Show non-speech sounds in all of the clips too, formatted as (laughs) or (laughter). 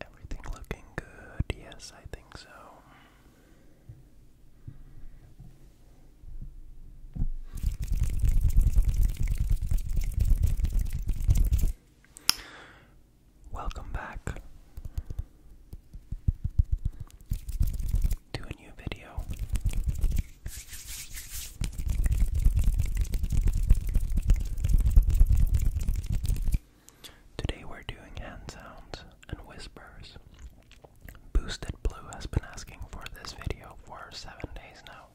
Everything looking good, yes, I think so. Welcome back to Today we're doing hand sounds and whispers. Boosted Blue has been asking for this video for seven days now.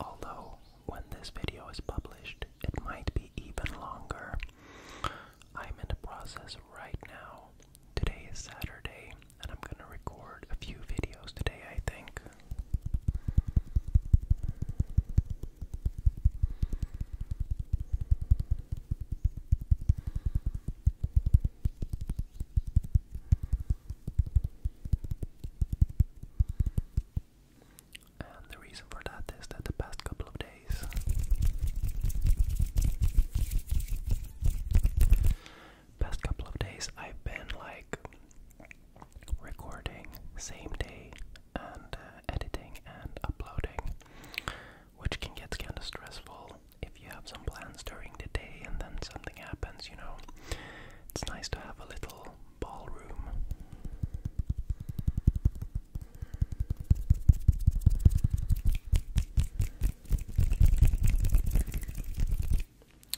Although, when this video is published, it might be even longer. I'm in the process right now. Today is Saturday, and I'm gonna record a few videos today, I think. And the reason for that is that the past couple of days past couple of days I've been like recording same day and uh, editing and uploading which can get kind of stressful if you have some plans during the day and then something happens, you know. It's nice to have a little ballroom.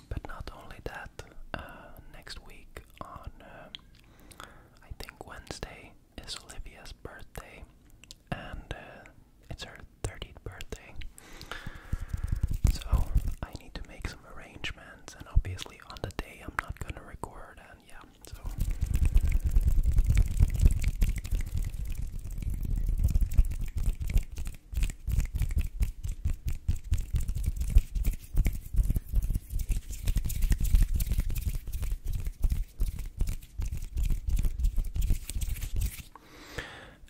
But not only that, uh, next week on, uh, I think Wednesday, is Olivia's birthday, and uh, it's her 30th birthday. So I need to make some arrangements and obviously on the day I'm not gonna record, and yeah, so.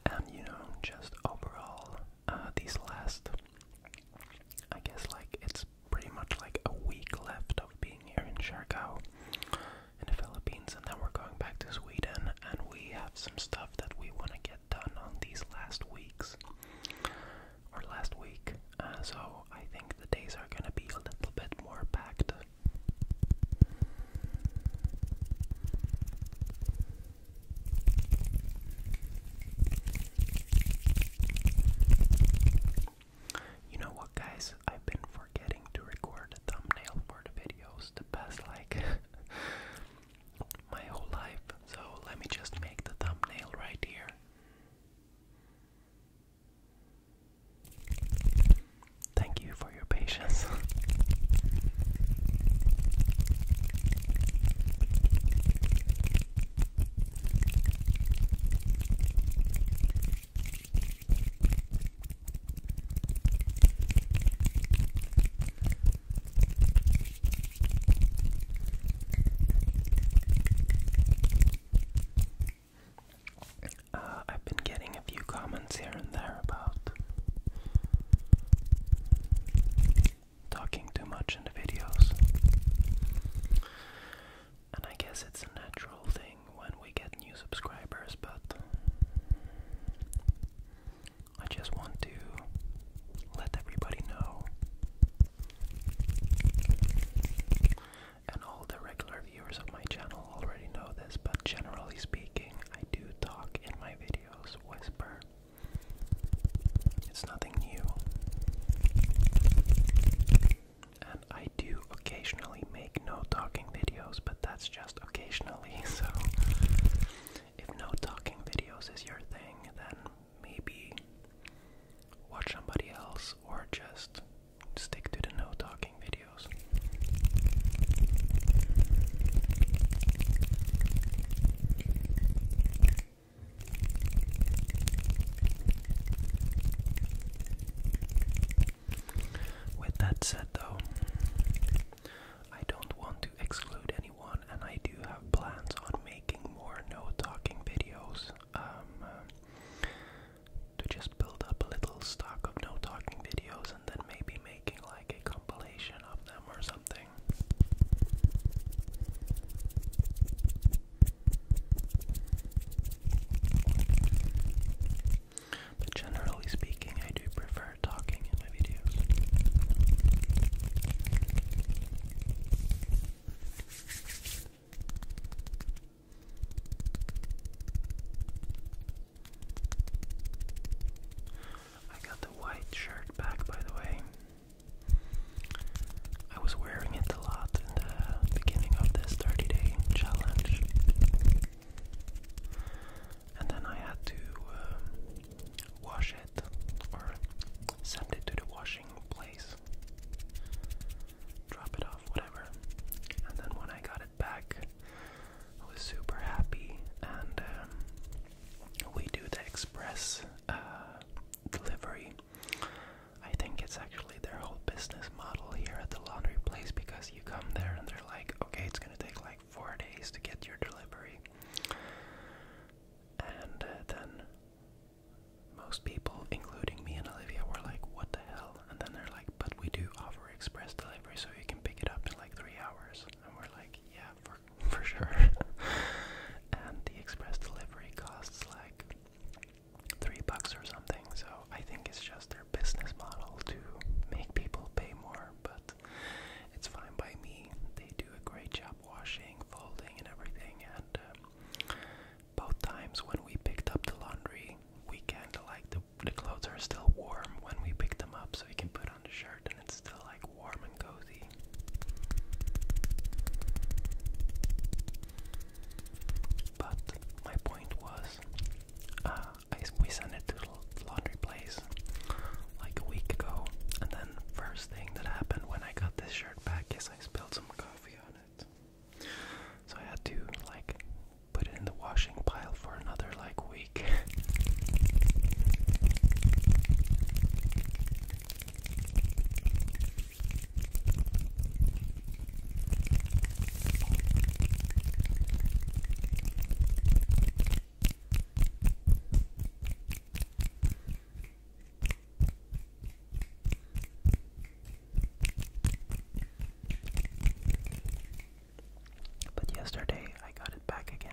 And you know, just overall, uh, these last I guess like it's pretty much like a week left of being here in Siargao in the Philippines and then we're going back to Sweden and we have some stuff that we want to get done on these last weeks or last week uh, so I think the days are going to be a little bit more packed you know what, guys? I've been forgetting to record a thumbnail for the videos the past like (laughs) my whole life. So let me just make the thumbnail right here. Thank you for your patience. (laughs) Uh, I've been getting a few comments here and there about talking too much in the videos. And I guess it's a natural thing when we get new subscribers, but I just want to let everybody know. And all the regular viewers of my channel already know this, but generally speaking, I do talk in my videos, whisper. It's nothing new. And I do occasionally make no talking videos, but that's just occasionally, (laughs) so if no talking videos is your thing, then maybe watch somebody else or just stick to the no talking videos. With that said, though, I don't want to exclude anyone, and I do have plans on making more no talking videos um, uh, to just build up a little stock of no talking videos and then maybe making like a compilation of them or something. But generally speaking, I do prefer talking in my videos. I got the white shirt back, by the way. I was wearing it a lot in the beginning of this 30 day challenge. And then I had to um, wash it or send it to the washing place. Drop it off, whatever. And then when I got it back, I was super happy. And um, we do the express uh, delivery I think it's actually their whole business model here at the laundry place because you come there and they're like, okay, it's gonna take like four days to get your delivery. And uh, then most people, including me and Olivia, were like, what the hell? And then they're like, but we do offer express delivery so you can pick it up in like three hours. And we're like, yeah, for, (laughs) for sure. (laughs) and the express delivery costs like three bucks or something. So I think it's just their business model to make people pay more, but it's fine by me. They do a great job washing, folding, and everything. And um, both times when we picked up the laundry weekend, like the the clothes are still warm when we pick them up, so you can put on the shirt and it's still like warm and cozy. But my point was, uh, we sent it to the laundry place like a week ago, and then first thing that happened when I got this shirt back is I spilled some coffee on it. So I had to like put it in the washing pile for another like week. (laughs) But yesterday I got it back again.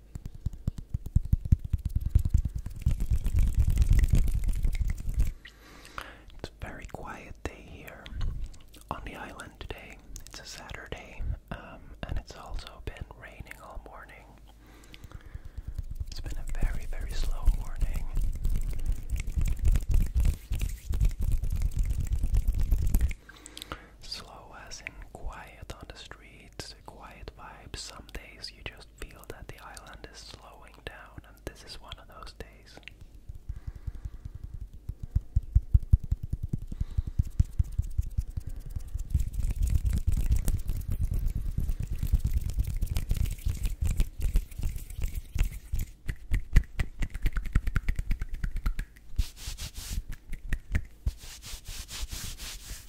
It's a very quiet day here on the island today. It's a Saturday, um, and it's also been raining all morning. It's been a very, very slow morning. Slow as in quiet on the street. It's a quiet vibe. Some days you just feel that the island is slowing down, and this is one of those days.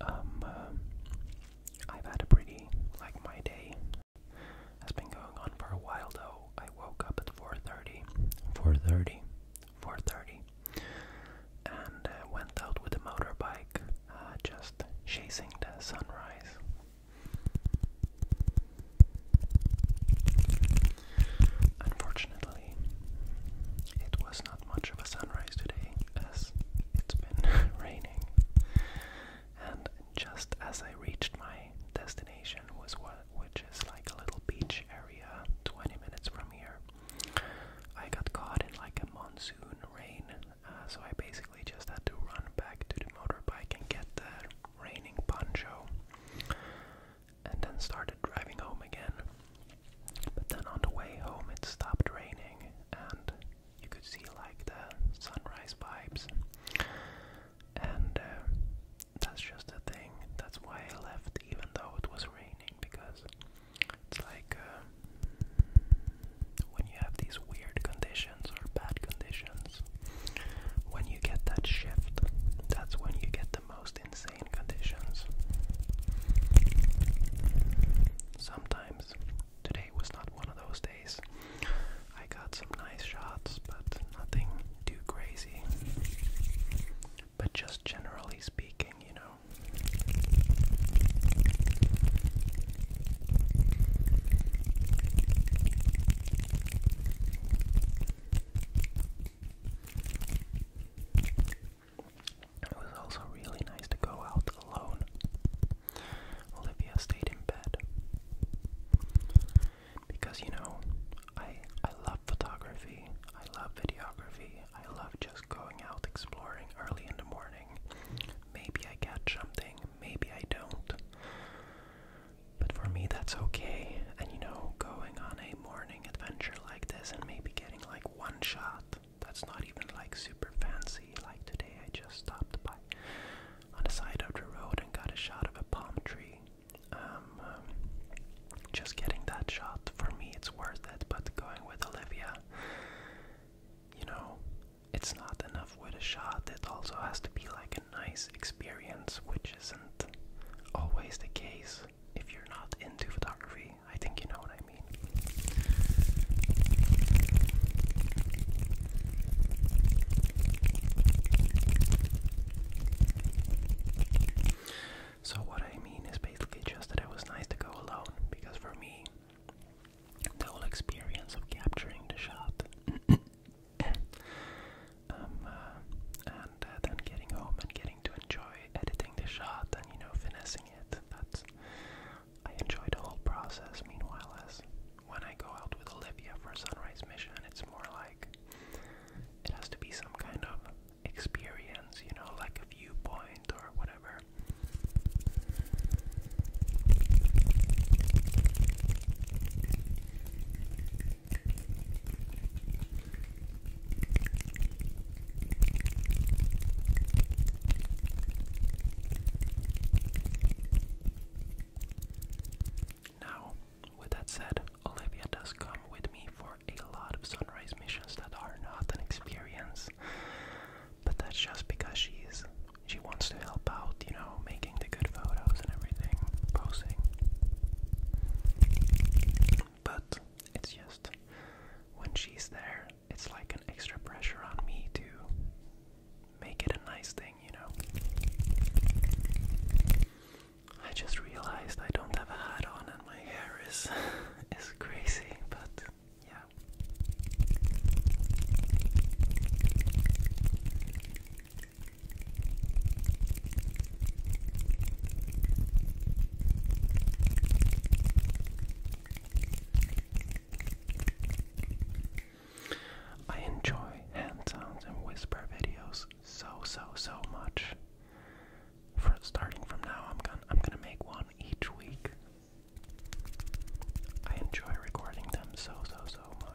Um, uh, I've had a pretty, like my day has been going on for a while though. I woke up at 4.30, and uh, went out with a motorbike, uh, just chasing the sunrise. Unfortunately, it was not much of a sunrise today as it's been (laughs) raining. And just as I reached my destination, was what, which is like a little beach area 20 minutes from here, I got caught in like a monsoon rain. Uh, so I basically just had to run back to the motorbike and get the raining poncho. And then started driving home again. But then on the way home it stopped raining and you could see like the sunrise vibes. And uh, that's just the thing. That's why I left even though it was raining because it's like uh, when you have these weird conditions or bad conditions, when you get that shift, that's when you get the most insane conditions. Sometimes today was not one of those days. I got some nice shots, but nothing too crazy. But just generally speaking, you know. It was also really nice to go out alone. Olivia stayed in bed. Because you know, I I love photography, I love videography, I love just going out exploring early in the morning. Maybe I catch something, maybe I don't. But for me that's okay. And you know, going on a morning adventure like this and maybe getting like one shot that's not even like super fancy. Like today, I just stopped by on the side of the road and got a shot of a palm tree. Um, um, just getting that shot for me, it's worth it. But going with Olivia, you know, it's not enough with a shot. It also has to be like a nice experience, which isn't always the case if you're not into photography. I think you know what I mean. So, what I mean is basically just that it was nice to go alone because for me, the whole experience of capturing the shot (coughs) um, uh, and uh, then getting home and getting getting to enjoy editing the shot and, you know, finessing it. That's. I enjoy the whole process. Meanwhile, as when I go out with Olivia for a sunrise mission, it's more like it has to be some kind of experience, you know, like a viewpoint or whatever. Now, with that said, Olivia does come with me for a lot of sunrise missions that are not an experience, but that's just because she's she wants to help out, you know, making the good photos and everything, posing. But it's just when she's there, it's like an extra pressure on me to make it a nice thing, you know. I just realized I don't have a hat on and my hair is (laughs) is crazy, but yeah. I enjoy hand sounds and whisper videos so so so much. For starting from now, I'm gonna I'm gonna make one each week. I enjoy recording them so so so much.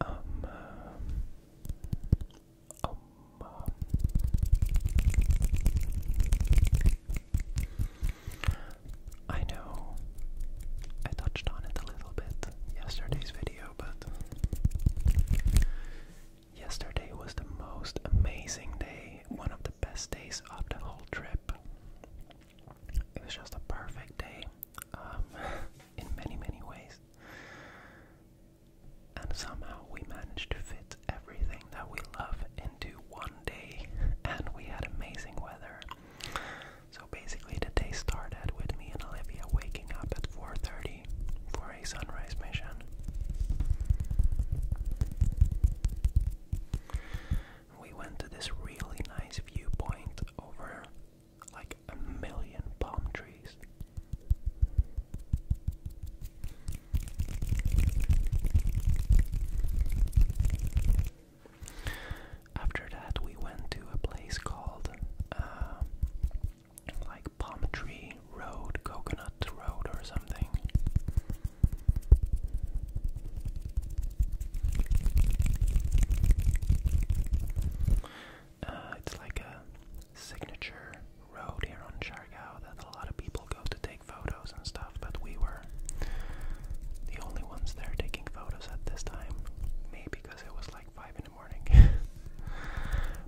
Um, um, I know I touched on it a little bit yesterday's video but yesterday was the most amazing day, one of the best days of the whole trip. It was just a perfect day um, (laughs) in many, many ways. And somehow we managed to fit everything that we love into one day, and we had amazing weather. So basically, the day started with me and Olivia waking up at 4:30 for a sunrise mission. We went to this really nice viewpoint over like a million palm trees. After that, we went to a place called uh, like Palm Tree Road, Coconut Road, or something. Uh, it's like a signature road here on Chargao that a lot of people go to take photos and stuff, but we were the only ones there taking photos at this time. Maybe because it was like five (laughs)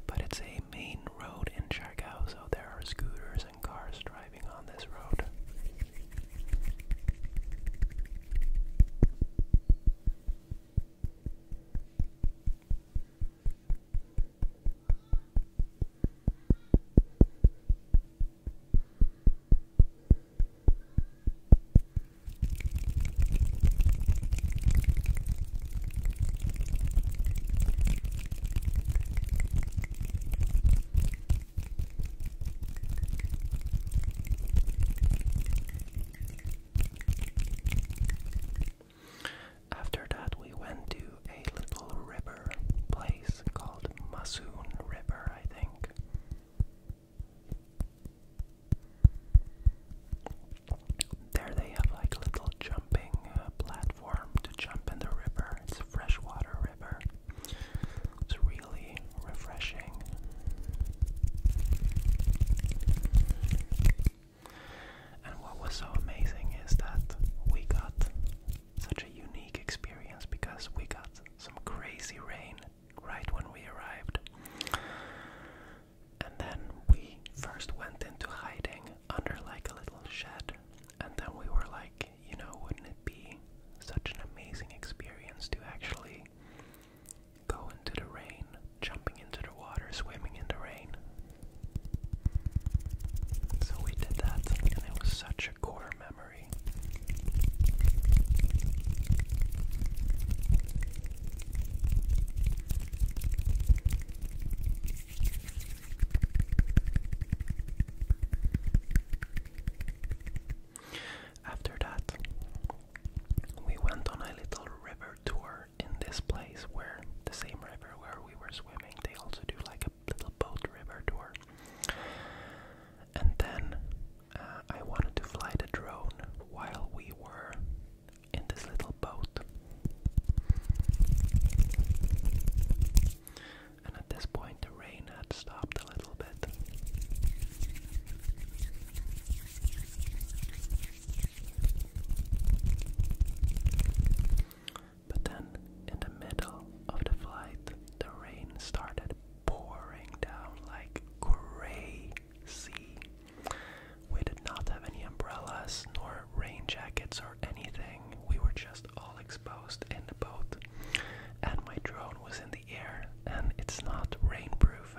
but it's a main road in Siargao, so there are scooters and cars driving on this road. After that, we went to a little river place called Masoon River, I think. There they have like little jumping uh, platform to jump in the river. It's a freshwater river. It's really refreshing. And what was so amazing is that we got such a unique experience because we got some crazy rain right when we arrived. And then we first went into hiding under like a little shed. And then we were like, you know, wouldn't it be such an amazing experience to actually go into the rain, jumping into the water, swimming in the rain? So we did that, and it was such a core memory. After that, we went on a little river tour in this place where the same river where we were swimming, they also do like a little boat river tour. And then uh, I wanted to fly the drone while we were in this little boat. And at this point, the rain had stopped a little bit. But then, in the middle of the flight, the rain started pouring down like crazy. We did not have any umbrellas, nor rain jackets, or anything. We were just all exposed in the boat. And my drone was in the air, and it's not rainproof.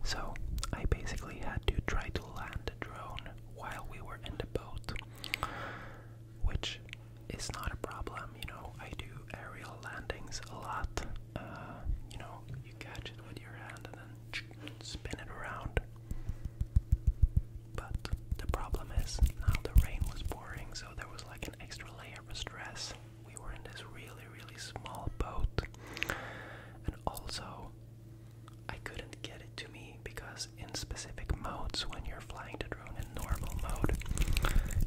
(laughs) so I basically had to try to land the drone while we were in the boat which is not a problem. You know, I do aerial landings a lot. Uh, you know, you catch it with your hand and then spin it around. But the problem is now the rain was pouring, so there was like an extra layer of stress. We were in this really, really small boat, and also I couldn't get it to me because in specific modes when you're flying the drone in normal mode,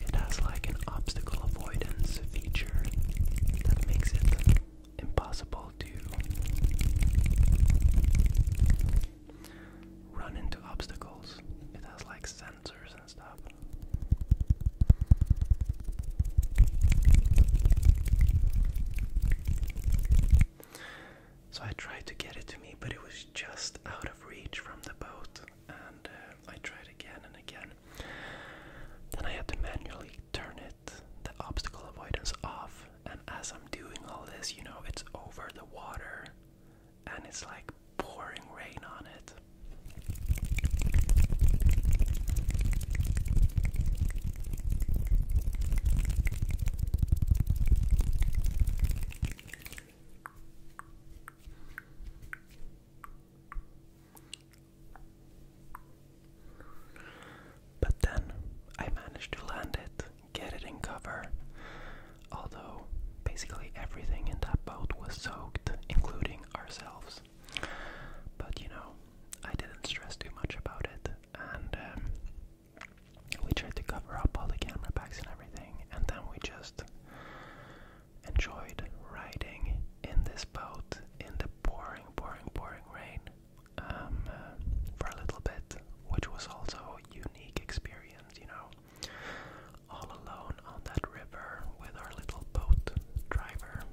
it has like an obstacle avoidance feature that makes it impossible to run into obstacles. It has like sensors and stuff. So I tried to get it to me, but it was just out of reach from the boat, and uh, I tried again and again. Then I had to manually turn it, the obstacle avoidance off, and as I'm doing all this, you know, it's over the water, and it's like pouring rain on it. But then I managed to land it, get it in cover. Although basically everything in that boat was soaked, including ourselves. But you know, I didn't stress too much about it, and um, we tried to cover up all the camera packs and everything, and then we just enjoyed riding in this boat in the pouring, pouring, pouring rain um, uh, for a little bit, which was also a unique experience, you know, all alone on that river with our little boat driver.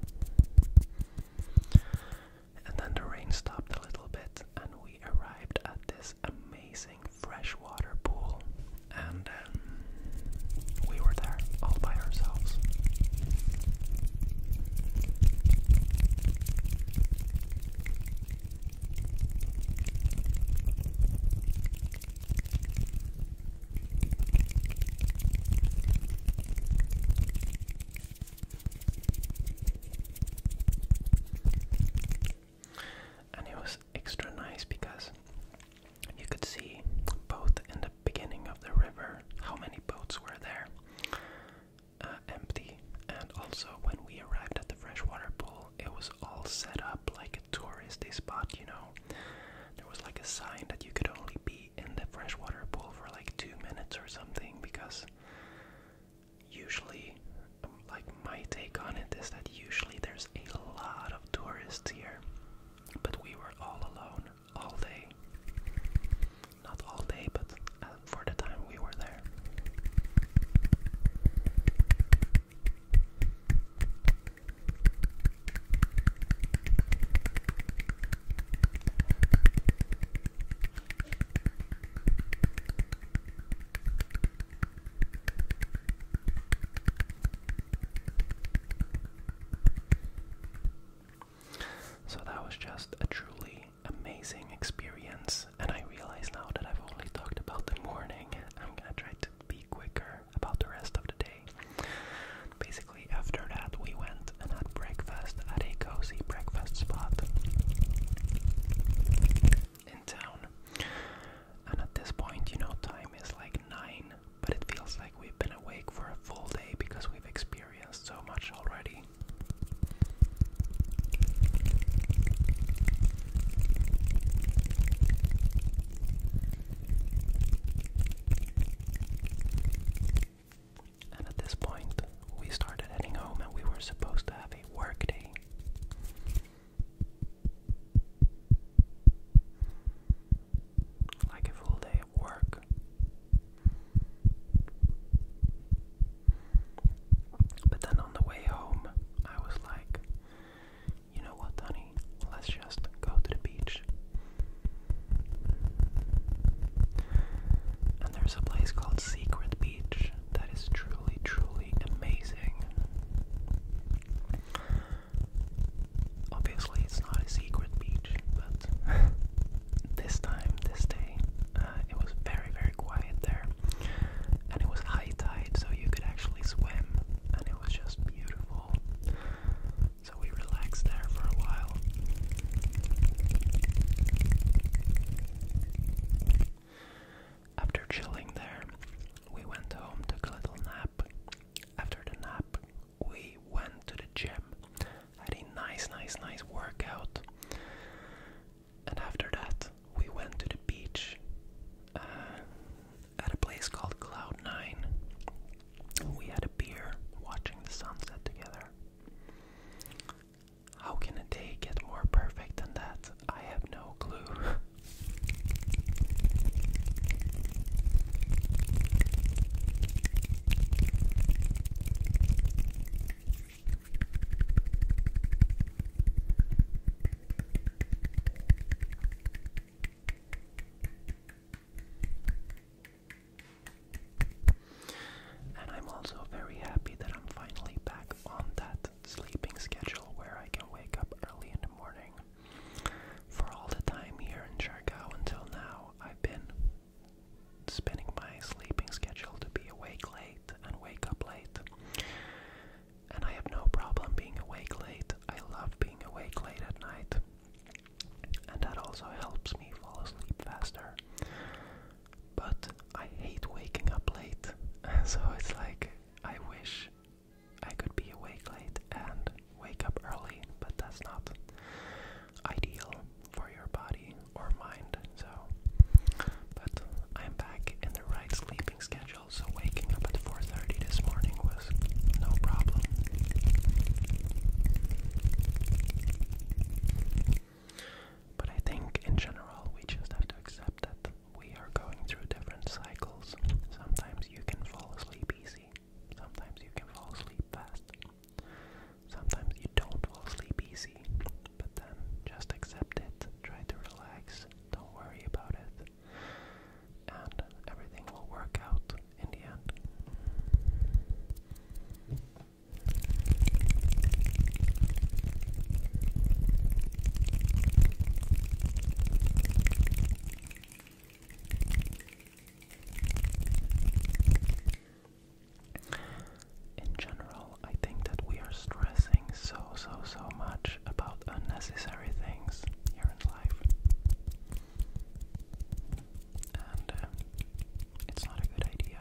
And then the rain stopped a little bit, and we arrived at this amazing freshwater pool. And um, we were there all by ourselves. And it was extra nice because you could see both in the beginning of the river how many boats were there uh, empty, and also when we arrived at the freshwater pool, it was all set up like a touristy spot, you know. There was like a sign that you could only be in the freshwater pool for like two minutes or something because usually, um, like my take on it is that usually there's a lot of tourists here, but we were all alone all day. Not all day, but uh, for the time we were there. So that was just a truly amazing experience, and I realize now that I've only talked about the morning. I'm gonna try to be quicker about the rest of the day. Basically, after that, we went and had breakfast at a cozy breakfast spot in town. And at this point, you know, time is like 9, but it feels like we've been awake for a full day because we've experienced so much already. And at this point, we started heading home, and we were supposed to have a work day. Like a full day of work. But then on the way home, I was like, you know what, Danny? Let's just go to the beach. And there's a place called Secret Beach that is truly, truly amazing. Obviously, it's not a secret beach, but (laughs) this time, this day, uh, it was very, very quiet there. And it was high tide, so you could actually swim, and it was just beautiful. So we relaxed there for a while. After chilling there, we went home, took a little nap. After the nap, we went to the gym, had a nice, nice, nice workout. And after that, we went to the beach uh, at a place called Cloud Nine. We had a beer watching the sunset together. How can a day get more perfect than that? I have no clue. And I'm also very happy that I'm finally back on that sleeping schedule where I can wake up early in the morning. For all the time here in Jargao until now, I've been spinning my sleeping schedule to be awake late and wake up late. And I have no problem being awake late. I love being awake late at night. And that also helps me fall asleep faster. But I hate waking up late, (laughs) so it's like I wish I could be awake late and wake up early, but that's not ideal for your body or mind. So, but I'm back in the right sleeping schedule, so waking up at 4:30 this morning was no problem. But I think in general we just have to accept that we are going through different cycles. Sometimes you can fall asleep easy, sometimes you can fall asleep fast, sometimes you don't fall asleep easy, but then just accept it, try to relax, don't worry about it, and everything will work out in the end. In general, I think that we are stressing so, so, so much about unnecessary things here in life. And uh, it's not a good idea.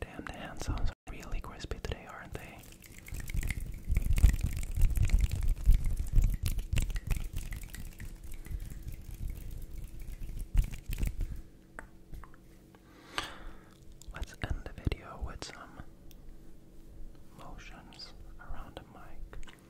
Damn, the hand are really crispy today, aren't they? Let's end the video with some motions around the mic.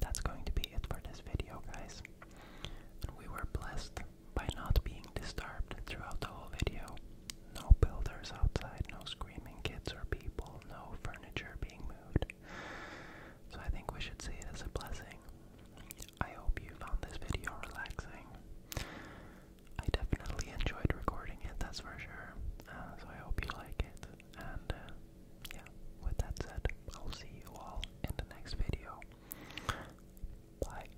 That's going to be it for this video, guys. We were blessed by not being disturbed throughout the whole video. No builders outside, no screaming kids or people, no furniture being moved. So I think we should see it as a blessing. I hope you found this video relaxing. I definitely enjoyed recording it, that's for sure. Uh, so I hope you like it. And uh, yeah, with that said, I'll see you all in the next video. Bye.